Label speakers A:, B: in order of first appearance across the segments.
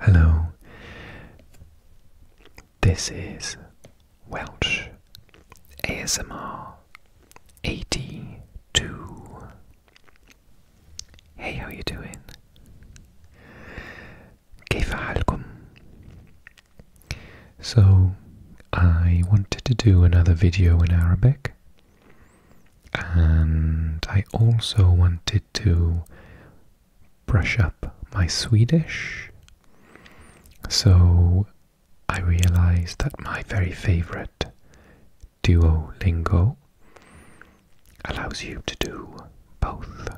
A: Hello, this is Welsh ASMR 82. Hey, how you doing? كيف So I wanted to do another video in Arabic and I also wanted to brush up my Swedish. So I realized that my very favorite Duolingo allows you to do both.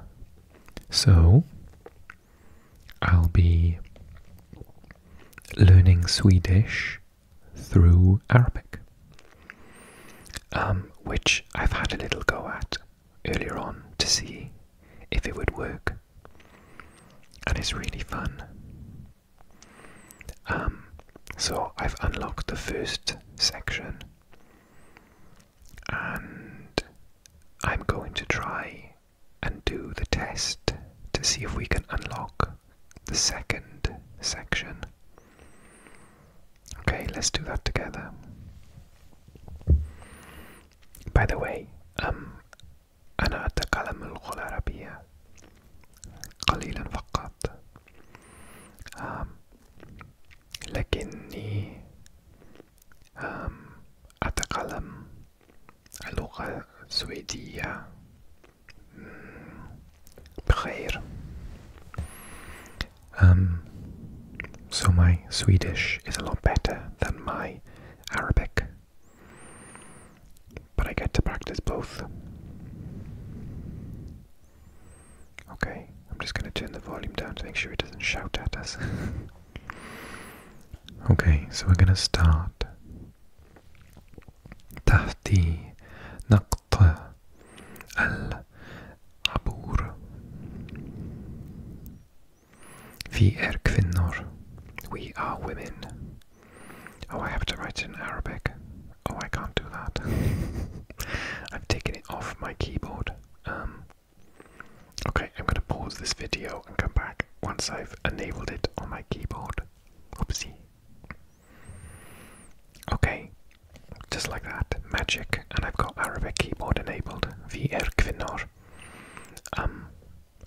A: So I'll be learning Swedish through Arabic, um, which I've had a little go at earlier on to see if it would work. And it's really fun. Um, so I've unlocked the first section and I'm going to try and do the test to see if we can unlock the second section. Okay, let's do that together. By the way, um أنا أتكلم اللغة العربية قليلا فقط um, لكني أتكلم اللغة السويدية بخير. Um, so my Swedish is a lot better than my Arabic, but I get to practice both. Okay. I'm just going to turn the volume down to make sure it doesn't shout at us. okay, so we're going to start. تحتي نقطة العبور في We are women. Oh, I have to write in Arabic. Oh, I can't do that. I've taken it off my keyboard. Um, Okay, I'm going to pause this video and come back once I've enabled it on my keyboard. Oopsie. Okay, just like that, magic, and I've got Arabic keyboard enabled. VR Kvinor. Um,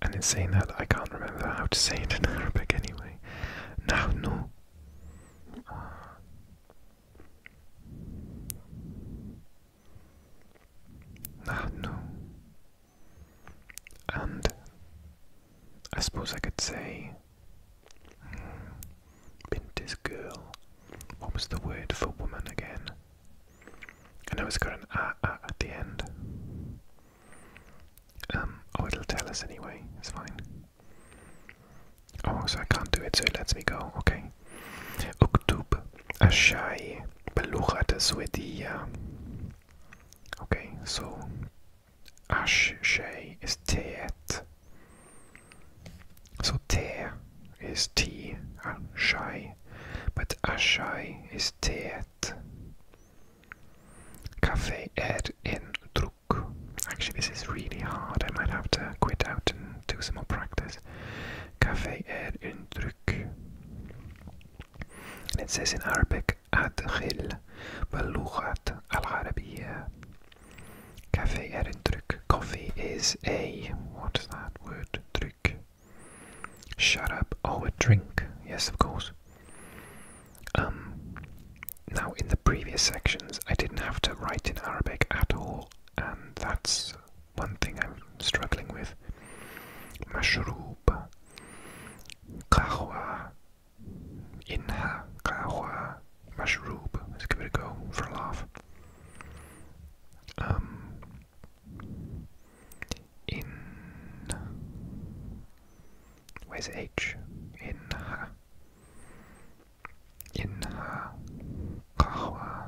A: and in saying that, I can't remember how to say it in Arabic anyway. Now, no. Ah, no, and I suppose I could say hmm, Binti's girl. What was the word for woman again? I know it's got an ah ah at the end. Um, oh, it'll tell us anyway. It's fine. Oh, so I can't do it, so it lets me go. Okay. أكتب الشاي باللغة السويدية. Okay, so الشاي is teet. So te is tea and but ashai is teet. Cafe ed in druk. Actually, this is really hard. I might have to quit out and do some more practice. Cafe är en dryck. And it says in Arabic, أدخل al العربية. Cafe er en dryck. Coffee is a, what is that word? Dryck. Shut up. Oh, a drink. Yes, of course. Um, now, in the previous sections, I didn't have to write in Arabic at all, and that's one thing I'm struggling with. Mashroob, kahwa, inha, kahwa, mashroob. Let's give it a go for a laugh. Um, in where's H? Inha, inha, kahwa,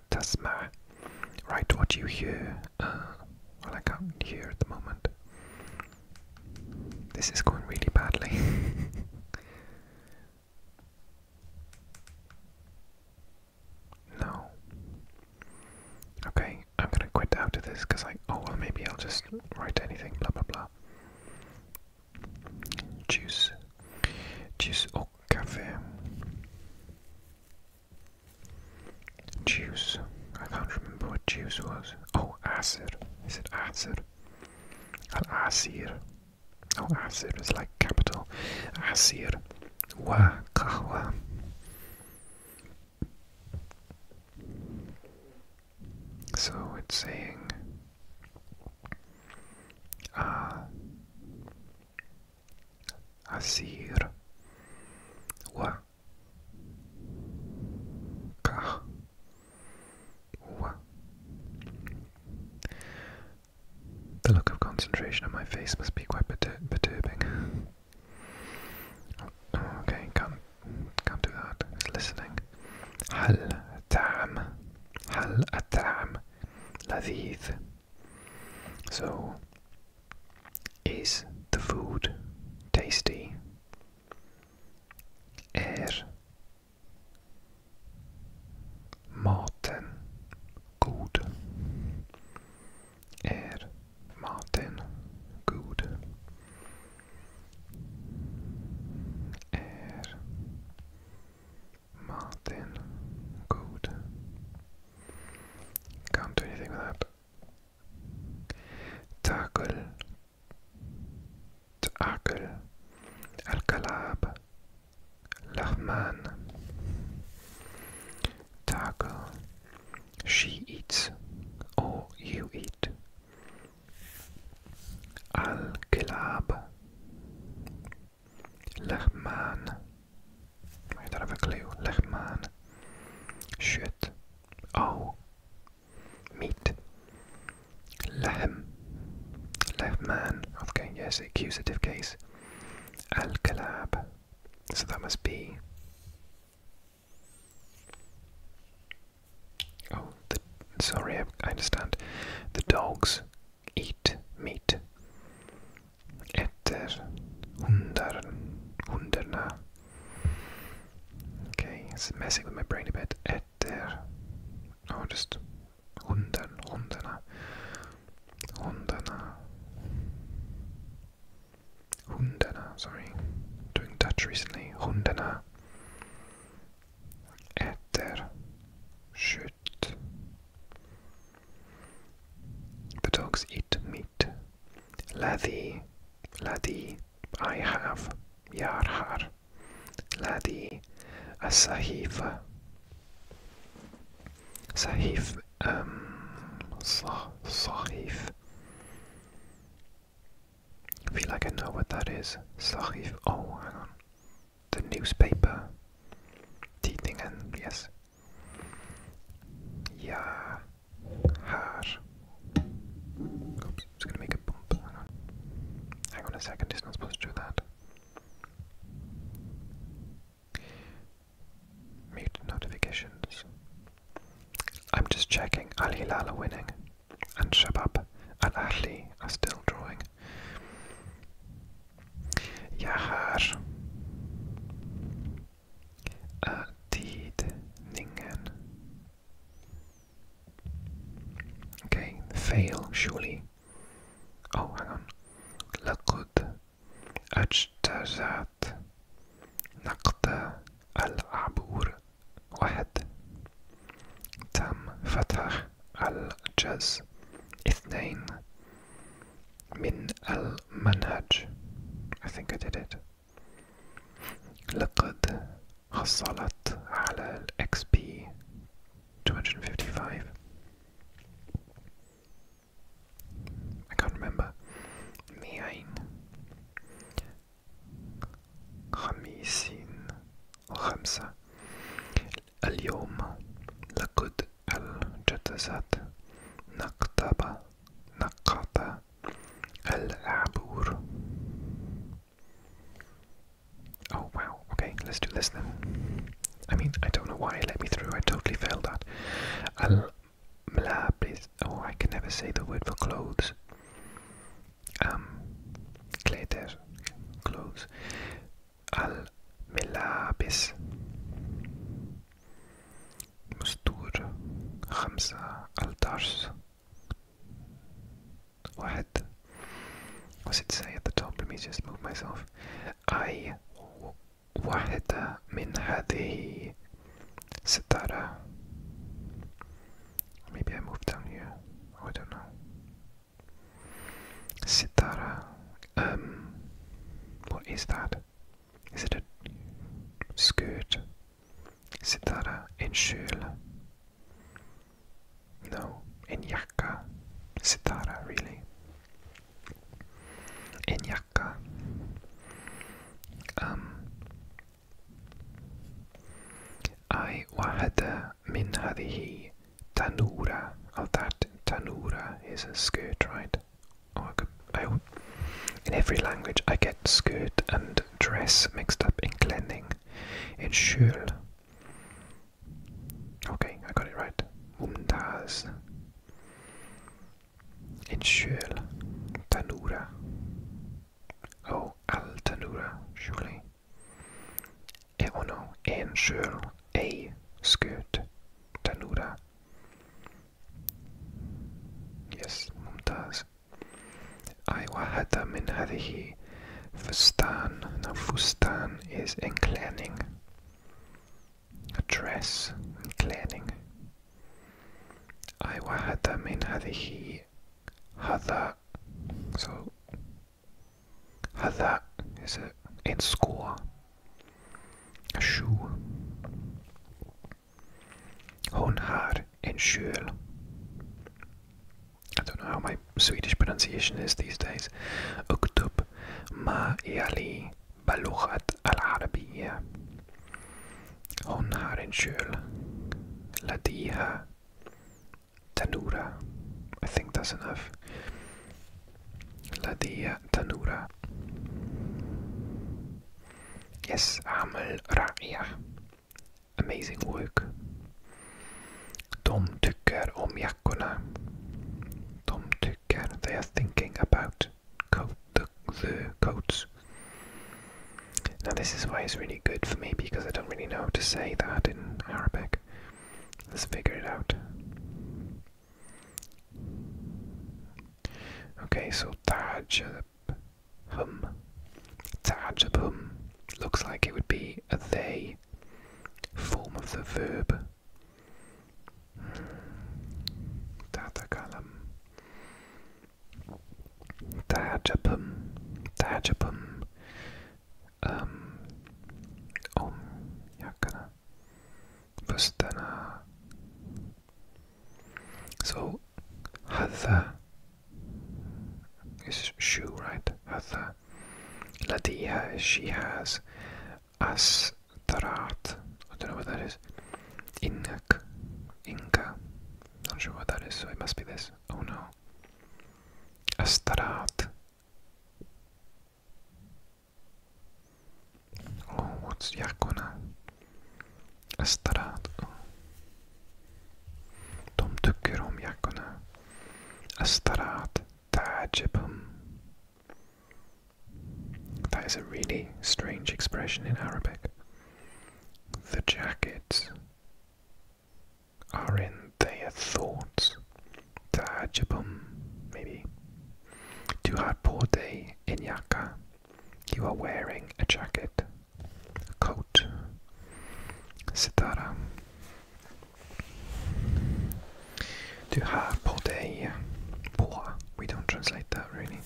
A: Write what you hear. Uh, I can hear at the moment. This is going really badly. no. Okay, I'm gonna quit out this because I. Oh, well, maybe I'll just write anything, blah blah blah. Juice. Juice or cafe. Juice. I can't remember what juice was. Oh, asir. Is it asir? Al asir. Oh, asir is like capital. Asir. Wa kahwa. So it's saying. Uh, أسير و كه و The look of concentration on my face must be quite perturbing. okay, can't, can that. It's listening. هل طعم هل So is the food tasty? Är maten god? Är maten god? Är maten god? Can't do anything with that. Tackle. Tackle. Al-Kalab. Lahman. Tackle. She eats. Or you eat. Al-Kalab. Lahman. I don't have a clue. Lechman. Shit. Oh. Meat. Lehm. Lehman. Okay, yes, accusative case. Al-Kalab. So that must be... Oh, the, sorry, I understand. The dogs eat meat. Etter. Hundar. Hunderna. Okay, it's messing with my brain a bit. Etter. Oh, just hundern. Hunderna. Hunderna. Hunderna, sorry. Doing Dutch recently. Hunderna. Etter. Shoot. The dogs eat meat. Ladi, ladi, I have, yarhar. Ladi, a sahif. Sahif, um, sahif. I feel like I know what that is. Sahif, oh, hang on. The newspaper. Teething and, yes, yeah, Här. Oops, it's gonna make a bump. Hang on. a second, it's not supposed to do that. Mute notifications. I'm just checking. Ali Hilal winning. And Shabab and Ahli are still drawing. Yahar. tidningen. Okay, fail, surely. Oh, hang on. لقد اجتازت نقد العبور واحد تم فتح الجز اثنين من المنهج I think I did it لقد حصلت على ال XP 255 I can't remember مئين خمسين وخمسة اليوم لقد التجسد نقطبة نقط العبور Oh wow, okay, let's do this then. I mean, I don't know why it let me through, I totally failed that. Al Malabis, oh, I can never say the word for clothes. Um, Kleter, clothes. Al Melabis. مستور خمسة التارس واحد What's it say at the top? Let me just move myself. I واحدة من هذه ستارة. Maybe I move down here. I don't know. Sitara. Um, what is that? Is it a skirt? Is it a uh, in Inshul? No, in Is it Inyaka. Sitara, uh, really. Inyaka. Um, I wahada min hadihi tanura. Oh, that tanura is a skirt, right? Oh, I in every language I get skirt and dress mixed up in cleaning, in schul. Okay, I got it right. Umdas. In shul, Tanura. Oh, al tanura, surely. E ono, en a skirt, tanura yes I أيوة هذا من hadihi فستان now fustan is inclining a dress I أيوة هذا من hadihi hada, so hada is a in score a shoe Hon har en kjol. I don't know how my Swedish pronunciation is these days. اكتب ما يلي بلغة العربية. Hon har en kjol. لديها tanura. I think that's enough. لدي tanura. Yes, Amal Ra'ya. Amazing work. De tycker om Tom took care. they are thinking about coat, the, the coats. Now this is why it's really good for me because I don't really know to say that in Arabic. Let's figure it out. Okay, so Taj, the uh, hum. Ta'ajabhum looks like it would be a they form of the verb. Tatakalam. Ta'ajabhum. Ta'ajabhum. Um. Om. Yakana. Vastana. So هذا is she, right? هذا لديها she has أسطرعت I don't know what that I do Not know what that is, so it must be this. Oh no. أسطرعت that is a really strange expression in Arabic. The jackets are in their thoughts. Tajibum, maybe. Du har poor day in jacka you are wearing a jacket, a coat, sitara. Du har på We don't translate that really.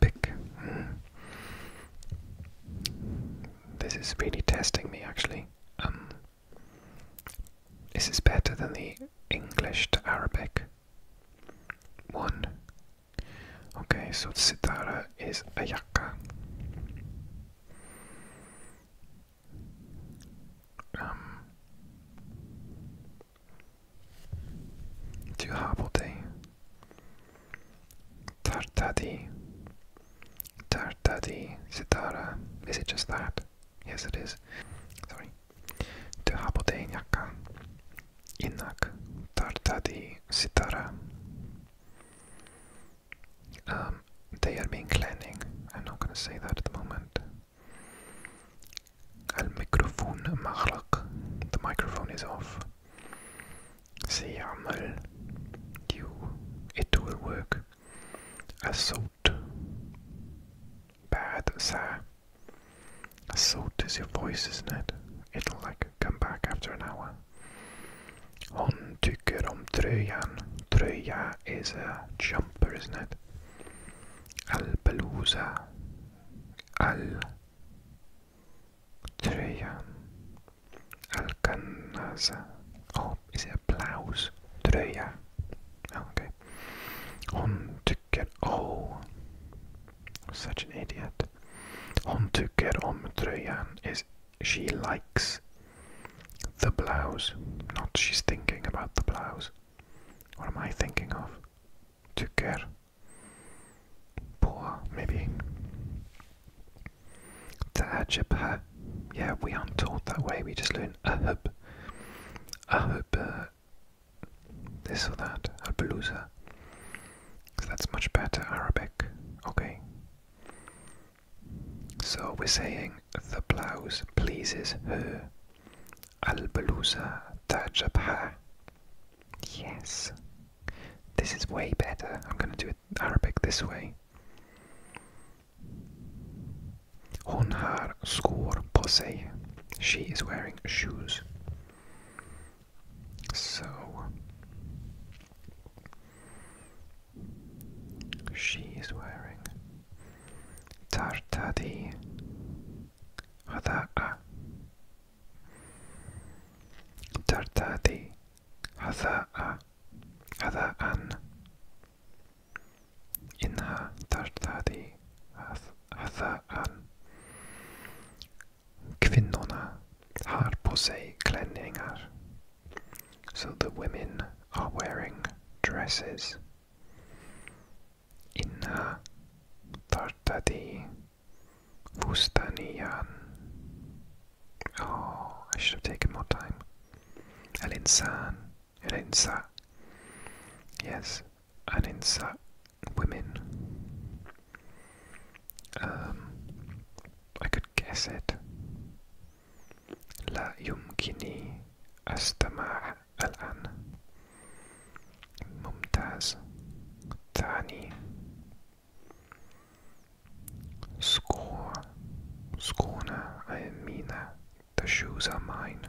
A: Pick. Mm. This is really testing me actually. Um, this is better than the English to Arabic one. Okay, so the sitara is Ayaka. Um, Duhabote, Tartadi, Tartadi, Sitara. Is it just that? Yes, it is. Sorry. Um, they are being cleaning. I'm not going to say that at the moment. Al microphone maghraq. The microphone is off. سيعمل. You. It will work. الصوت. بعد ساعة. So does your voice, isn't it? It'll like come back after an hour. On to tycker om tröjan. Tröja is a jumper, isn't it? Alpelusa. Al. Tröjan. Alcanasa. Oh, is it a blouse? Tröja. Oh, okay tycker-oh. Such an idiot. Hon on om tröjan. Is she likes the blouse. Not she's thinking about the blouse. What am I thinking of? Tycker. På, maybe. Ta'ajabha. Yeah, we aren't taught that way. We just learn ahub. Ahub this or that, Albalusa. Because that's much better Arabic. Okay. So we're saying the blouse pleases her. Albalusa tajabha. Yes. This is way better. I'm going to do it Arabic this way. On her score, posse. She is wearing shoes. So she is wearing tartadi hadaa tartadi hadaa hadaan inha tartadi um, so the women are wearing dresses. Inna tartadi fustaniyan. Oh, I should have taken more time. Al insan, al insa. Yes, an insa women. Um, I could guess it. La يمكنني استماع الآن. ممتاز. ثاني. Score. Scorner. I mean that. The shoes are mine.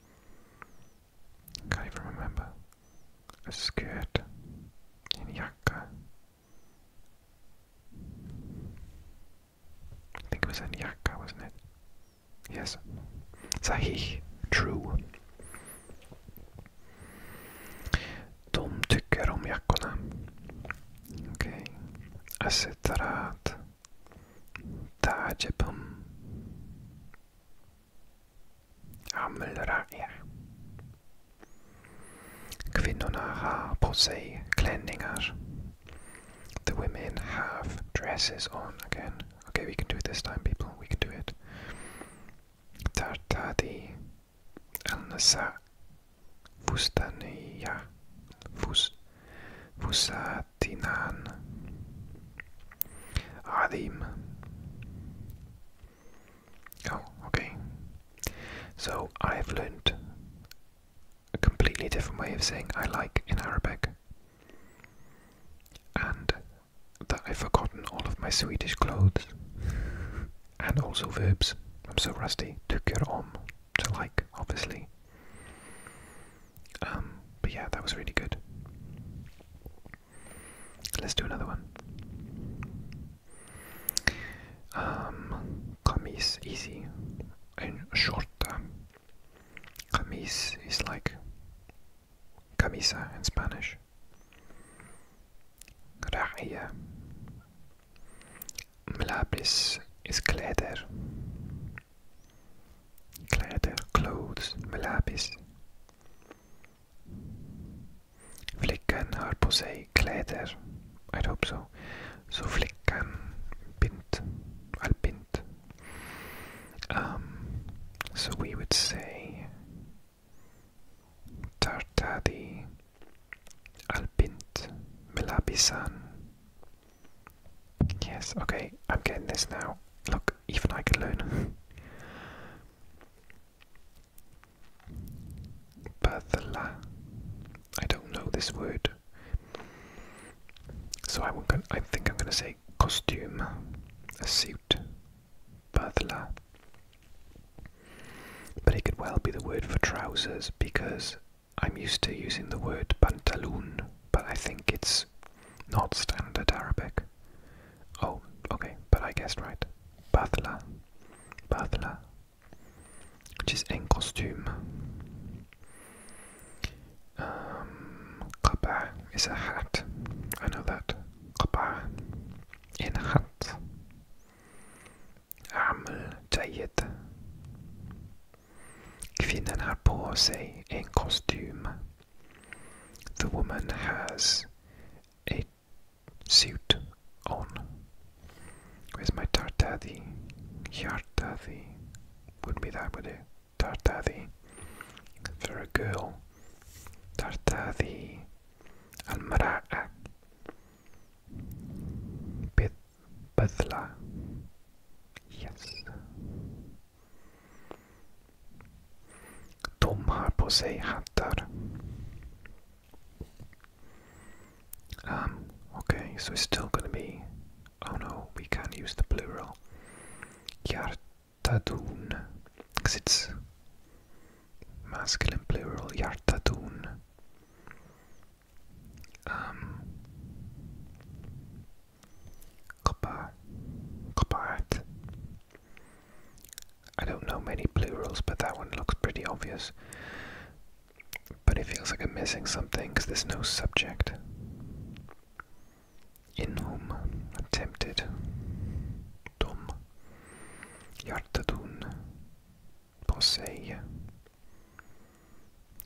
A: Can't even remember. A skirt in yakka. I think it was in yakka, wasn't it? Yes. Sahih. True. De tycker om jackorna. Okej. Okay. Acetarat. تعجبهم عمل Kvinnorna har på klänningar. The women have dresses on again. Okay, we can do it this time, people. We can do it. Tartadi Elnasa Fustania Fus Fusa Adnan Adim. Oh, okay. So I've learned a completely different way of saying I like in Arabic. And that I've forgotten all of my Swedish clothes. and also verbs. I'm so rusty. Tycker om. To like, obviously. Um, but yeah, that was really good. Let's do another one. Camis um, easy and short. Camis um, is like camisa in Spanish. Ra'ya. Mlabis is kleder. Kläder, clothes, melabis. Flickan har på i hope so. so flickan, bint, albint. Um, so we would say tartadi albint melabisan Yes, okay, I'm getting this now. Look, even I can learn. Berthala. I don't know this word. So I, won't, I think I'm going to say costume, a suit, berthala. But it could well be the word for trousers because I'm used to using the word pantaloon but I think it's not standard Arabic. Oh, okay, but I guessed right. Bathla, bathla, which is in costume. qaba um, is a hat. I know that. Qaba, in hat. Amal جيد. Kvinnan har på sig en kostym. The woman has a suit on. Where's my tartadi? Yartadi would be that, would it? Tartadi. For a girl. Tartadi. Almara'a. Bit. Badla. Yes. De har på sig um, okay, so it's still gonna be... Oh no, we can't use the plural. Yartadun. Because it's masculine plural, Yartadun. Um, copper, copperite. I don't know many plurals, but that one looks pretty obvious. But it feels like I'm missing something because there's no subject. In whom I'm tempted. Dum. Yartadun. Posey.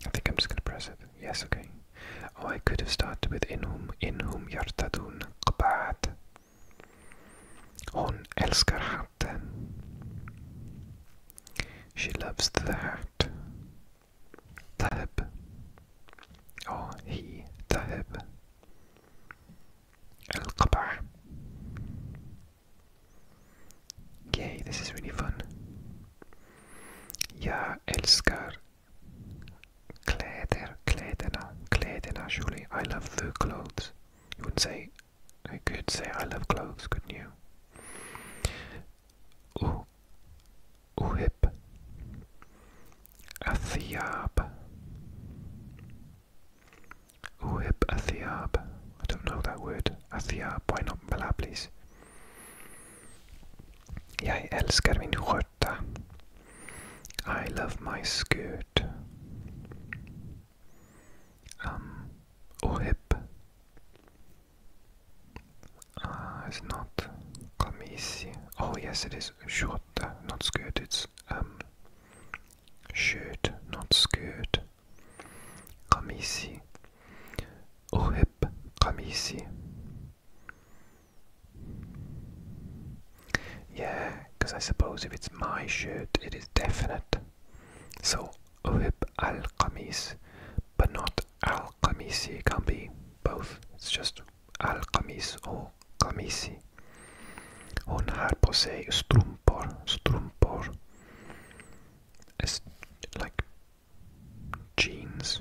A: I think I'm just going to press it. Yes, okay. Oh, I could have started with in whom, in whom you're yartadun qbad. Hon elskar hatten. She loves the hat. Tahib. Oh, he, tahib. El qaba Yay, this is really fun. Jag elskar. Kläder, kläderna, kläderna, Julie. I love the clothes. You would say, I could say I love clothes, couldn't you? U, uhip, athiyab. Uhib Athiyab. I don't know that word. Athiyab, why not Bala, please? Jag älskar min skört. I love my skirt. Um, hip! Uh, it's not camisi. Oh yes, it is short, not skirt. It's um, shirt, not skirt. Camisi. Uhip camisi. Yeah, because I suppose if it's my shirt, it is definite. So, Uhib al Qamis, but not al Qamisi. can be both. It's just al Qamis or Qamisi. Hon här på sig strumpor, strumpor. It's like jeans.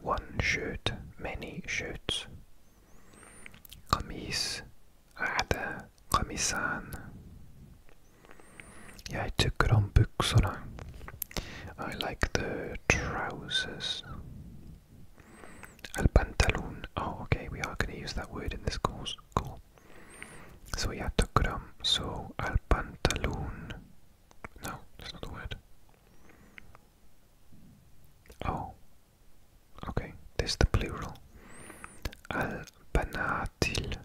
A: One shirt, many shirts. قميص عدا قميصان. Yeah, I took it on buksona. I like the trousers. Al pantaloon. Oh, okay, we are going to use that word in this course. Cool. So yeah, took it on. So al pantaloon no, that's not the word. Oh. Okay, there's the plural. Al banatil.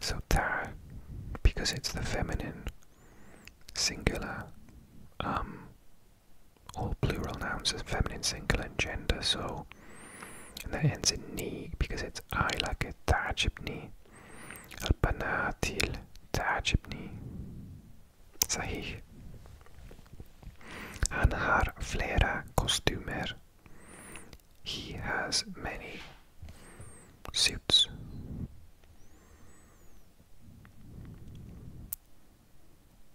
A: So ta because it's the feminine singular. Um all plural nouns are feminine singular and gender, so and that ends in ni because it's I like it. تعجبني البناتيل تعجبني صحيح Han har flera kostymer. He has many suits.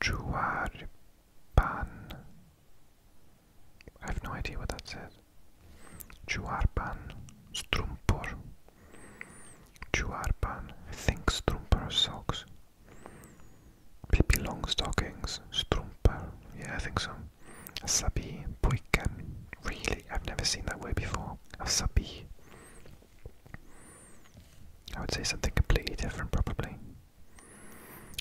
A: Chuarpan. I have no idea what that says. Chuarpan Strumpur. Chuarpan. I think Strumpur socks. long stockings. Strumpur. Yeah, I think so. Sabi Puiken. Really? I've never seen that word before. Sabi. I would say something completely different, probably.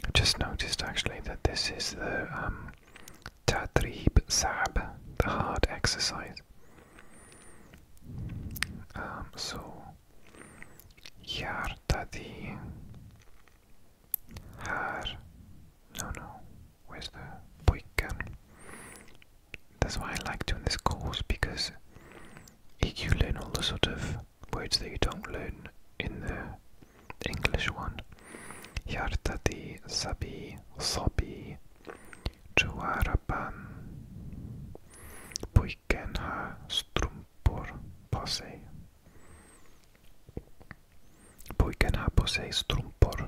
A: I just noticed actually that this is the um, Sab, the hard exercise. Um, so, Yartadi Har. No, no. Where's the Boykan? That's why I like doing this course because EQ learn all the sort of words that you don't learn in the English one. Yartati, Sabi, Sobi, Juarapan, Puikenha, Strumpur, Pose. Puikenha, Pose, Strumpur.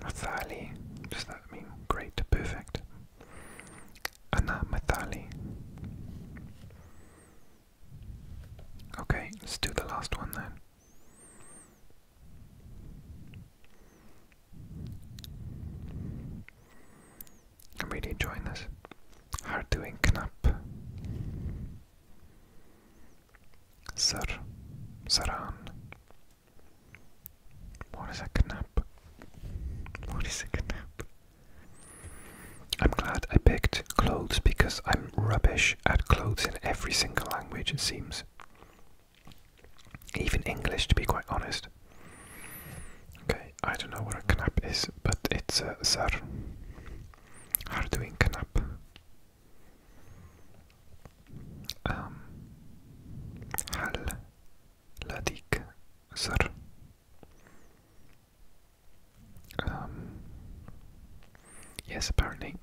A: Mathali. Does that mean great, perfect? Anna Mathali. Okay, let's do the last one then. I'm really enjoying this. Hard doing knap. Sir, Saran. What is a knap? What is a knap? I'm glad I picked clothes because I'm rubbish at clothes in every single language, it seems. Even English, to be quite honest. Okay, I don't know what a knap is, but it's a sir. How doing knap? um, هل لديك زر um, yes apparently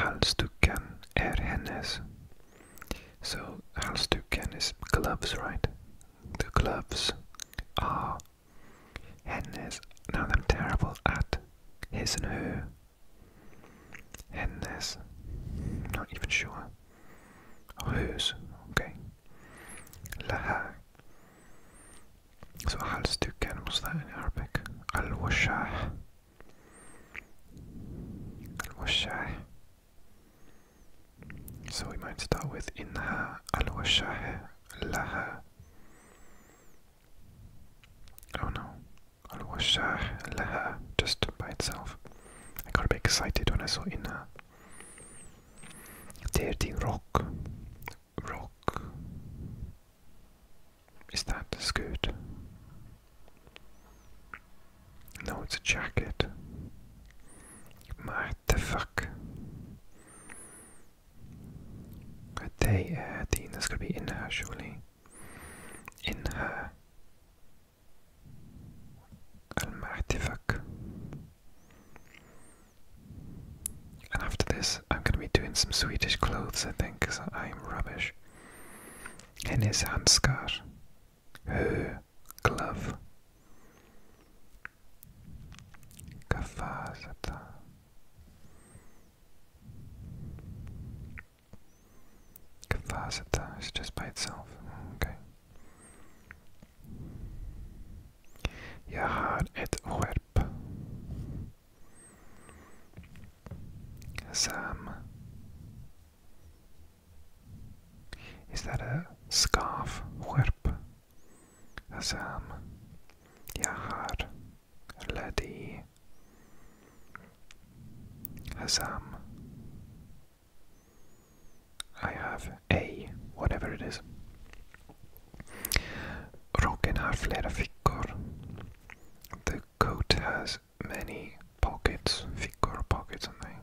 A: halsduken är er hennes so halsduken is gloves right the gloves are Hen is, now I'm terrible at his and her. Hen is, not even sure. Who's oh, okay. Laha. So I halsduken, what's that in Arabic? Al-washah. Al-washah. So we might start with inha al-washah لها Oh no. Al-Washah uh, Laha just by itself. I got to be excited when I saw Inna. Uh, dirty rock. Rock. Is that a skirt? No, it's a jacket. My the fuck? They, uh, the, that's gotta be in her, surely. In her. Al-Martifak. And after this, I'm gonna be doing some Swedish clothes, I think, because I'm rubbish. Hennes handskar. Her glove. Kafasata Kafasata is just by itself. Okay. Jag har ett skärp. Sam. Is that a scarf? Skärp. Hazam, Yahar, Ladi, Hazam. I have A, whatever it is. Rocken har flera fickor. The coat has many pockets. Fickor, pockets, something.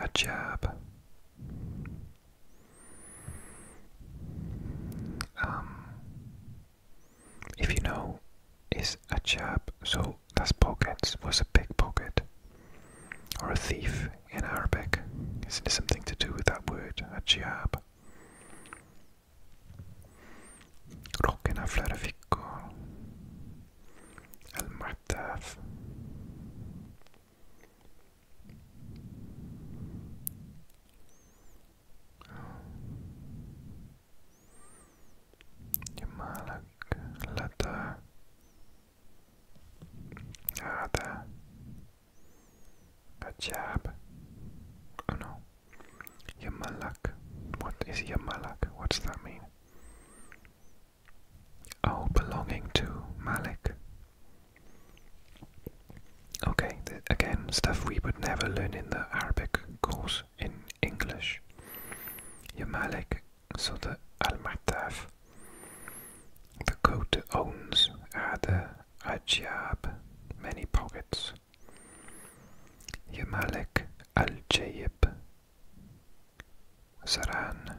A: A jab. Um, if you know, is a chap, so that's pockets was a pickpocket or a thief in Arabic. Isn't it something to do with that word, a chap? ركن فلر فيكو المعتاف جمالك لدى هذا Ajab. Oh no. Yamalak. What is Yamalak? What does that mean? Oh, belonging to Malik. Okay, again, stuff we would never learn in the Arabic course in English. Your Malik, so the Al Mataf. The coat owns are the Ajab, many pockets. Your Al Jayib, Saran.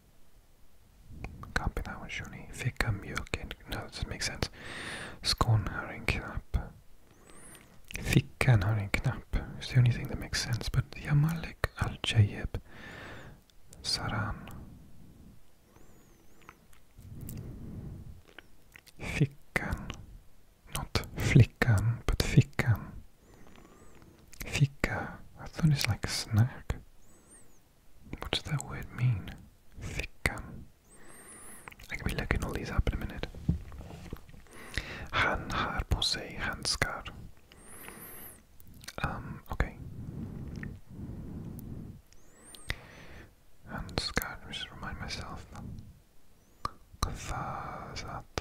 A: Kampinen kör ni. Ficka mjuk and... No, that doesn't make sense. Skon har en knapp. Fickan har en It's the only thing that makes sense. But Yamalek al-Jayeb Saran. Fickan. Not flickan, but fickan. Ficka. I thought it's like snack. What does that word mean? Thick gum. I can be looking all these up in a minute. Han har på han handskar. Um, okay. Handskar, let I should remind myself. Kafazat.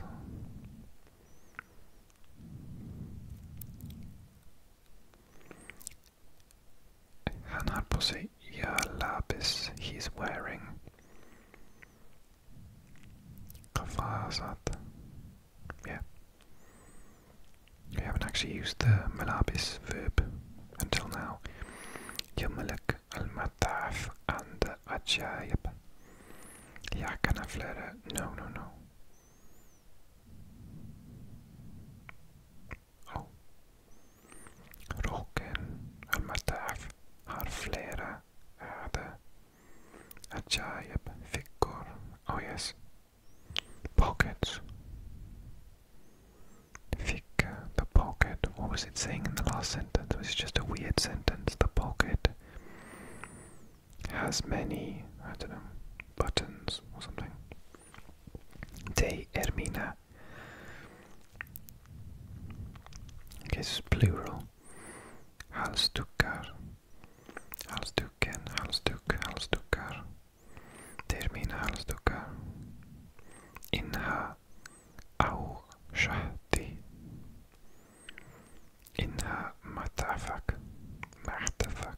A: Han har på sig jälabis he's wearing. Kafaya Yeah. We haven't actually used the malabis verb until now. Yamalik al-mataf and ajayib. Yakanaflera. No, no, no. Ja. Oh. mataf har flera öde. Ajaib fickor. Oh yes. Pockets. Ficka, the pocket. What was it saying in the last sentence? It was just a weird sentence. The pocket has many, I don't know, buttons or something. De Ermina. Okay, this plural. Halsdukar. Halsduken, halsduk, halsdukar. De Ermina halsdukar. Inha au shahti. Inha matafak. Mahtafak.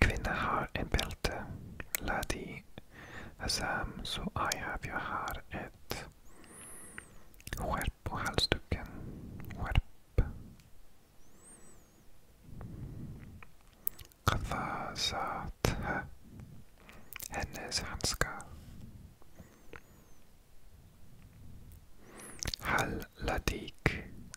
A: Kvinna har en bälte. Ladi Azam, så Ayab, jag har ett skärp på halsduken. Skärp. Qafazat. Hennes handskar. Hal Ladik.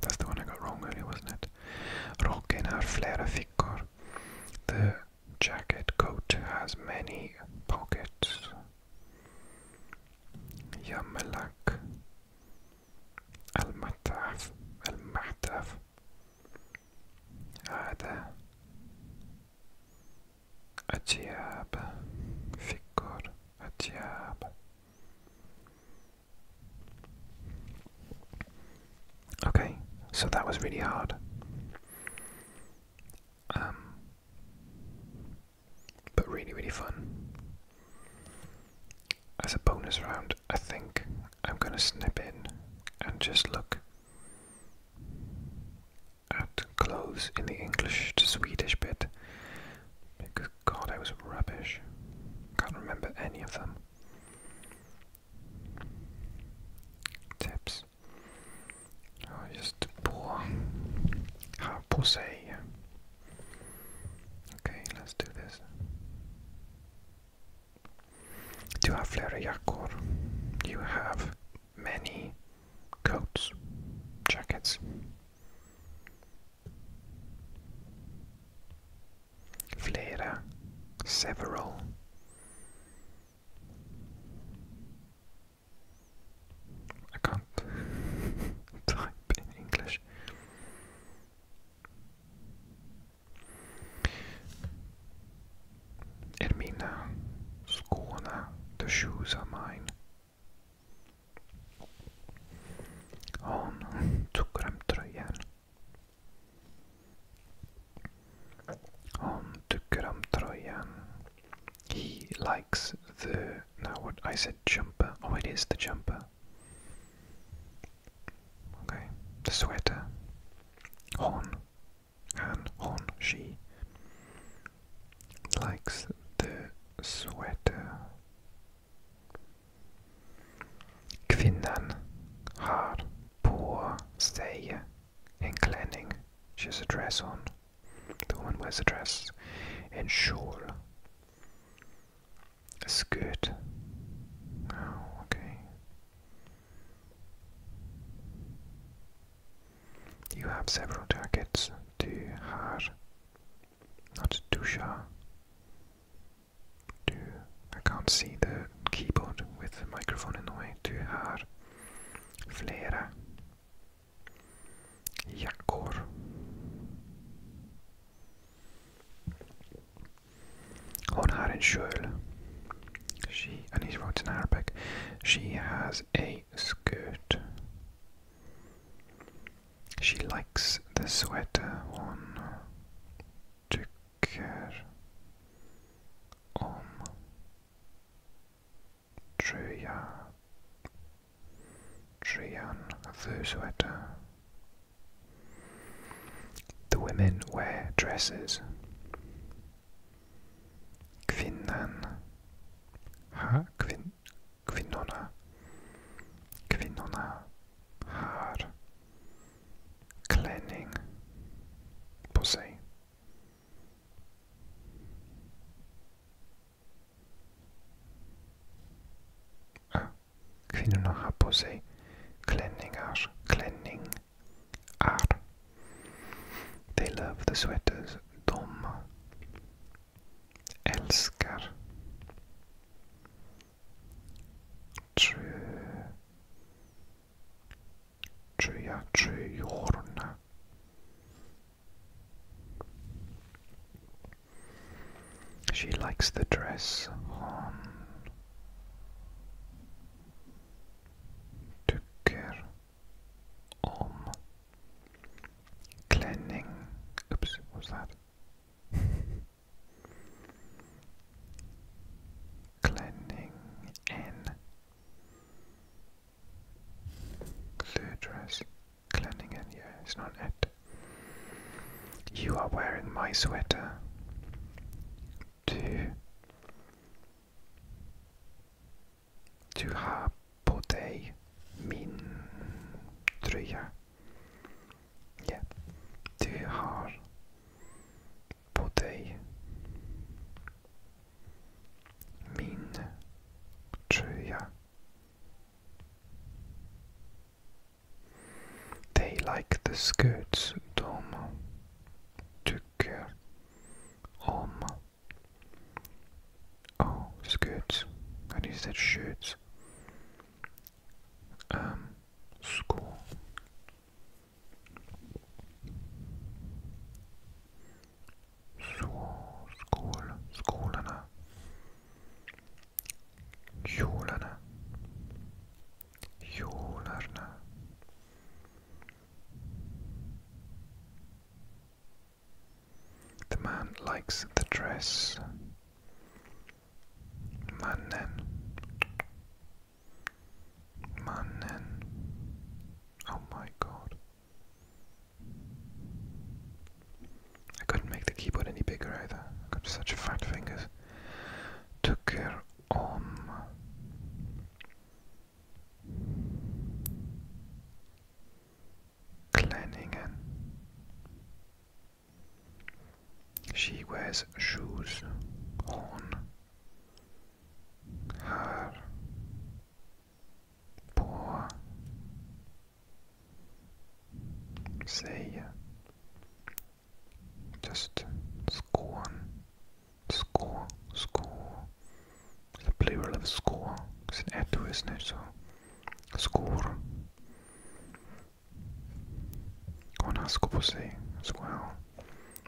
A: That's the one I got wrong earlier, wasn't it? The jacket coat has many pockets. Yamalak. Al-Mataf. Al-Mataf. هذا أتياب فكر أتياب Okay, so that was really hard. Um, but really, really fun. As a bonus round, I think I'm going to snip in and just look at clothes in the English to Swedish bit God, I was rubbish. Can't remember any of them. Tips. Oh, just pour. Ah, pousser. Okay, let's do this. Do have Yakor. You have many coats, jackets. Flera, several. I can't type in English. Ermina, Skåne, the shoes are mine on cukrem tröjan. On cukrem tröjan. He likes the now what I said jumper. Oh, it is the jumper. Okay, the sweater. On and on she likes the sweater. Quinnan har på sig in klänning. she's a dress on. The woman wears a dress. En kjol. A skirt. Oh, okay. You have several jackets. Du har not Dusha. Du. I can't see the keyboard with the microphone in the way. To her, flera jackor. On her in kjol. She and he wrote in Arabic. She has a skirt. She likes the sweater on tycker om. Tröja. Tröjan, the sweater. The women wear dresses. Kvinnan. Ha, kvin, kvinnorna. Kvinnorna har klänning på sig. Ah, kvinnorna har på sig klänningar. Klänning är. They love the sweaters. De älskar. Tror tro jag tröjorna. She likes the dress hon tycker om. Klänning. Oops, what's that? cleansing and Ludras, cleansing and yeah, it's not it. You are wearing my sweater. To Du har på min tröja. Ja, du har på dig min tröja. They like the skirts de tycker om. Oh, skirts. I just said shirts. Um, school. school. School. skål, skålarna, kjolarna, The man likes the dress. Mannen. Mannen. Oh my god. I couldn't make the keyboard any bigger either. I've got such fat fingers. Tucker om. Kleningen. She wears shoes on her poor say just scorn score score the plural of score it's an adverb, isn't so score on a Konaskoposi as well.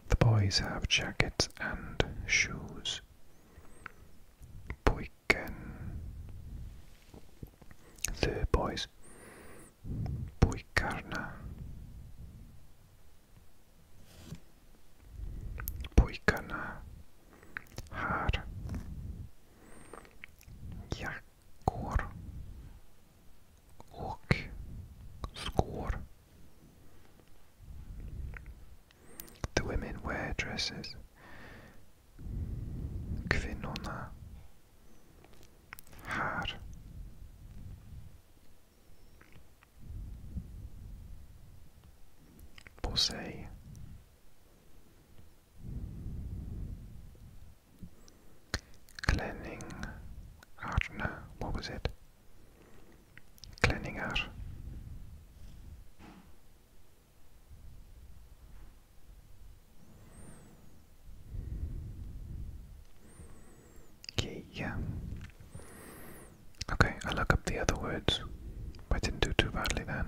A: The boys have jackets and shoes. Poiken. The boys. Poikarna. Poikana. Har. Jak går The women wear dresses. Kvinnorna här. På Klänning no, what was it? Klänningar. Okay, yeah. Okay, I look up the other words. I didn't do too badly then,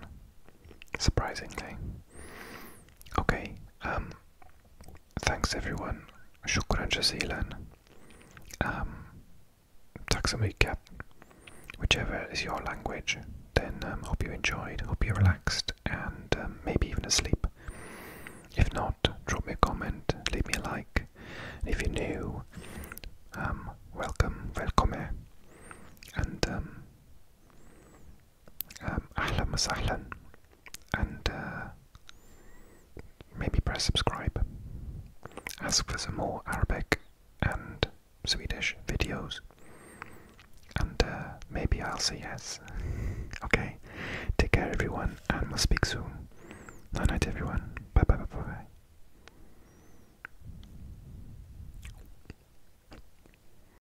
A: surprisingly. Okay, um, thanks everyone. شكرا جزيلا. Um, tack så mycket. Whichever is your language, then um, hope you enjoyed, hope you relaxed, and um, maybe even asleep. If not, drop me a comment, leave me a like. if you're new, welcome, welcome. And um, ahlan wa sahlan, and uh, maybe press subscribe. Ask for some more Arabic and Swedish videos, and uh, maybe I'll say yes. okay, take care everyone, and we'll speak soon. Night night everyone. Bye bye bye bye.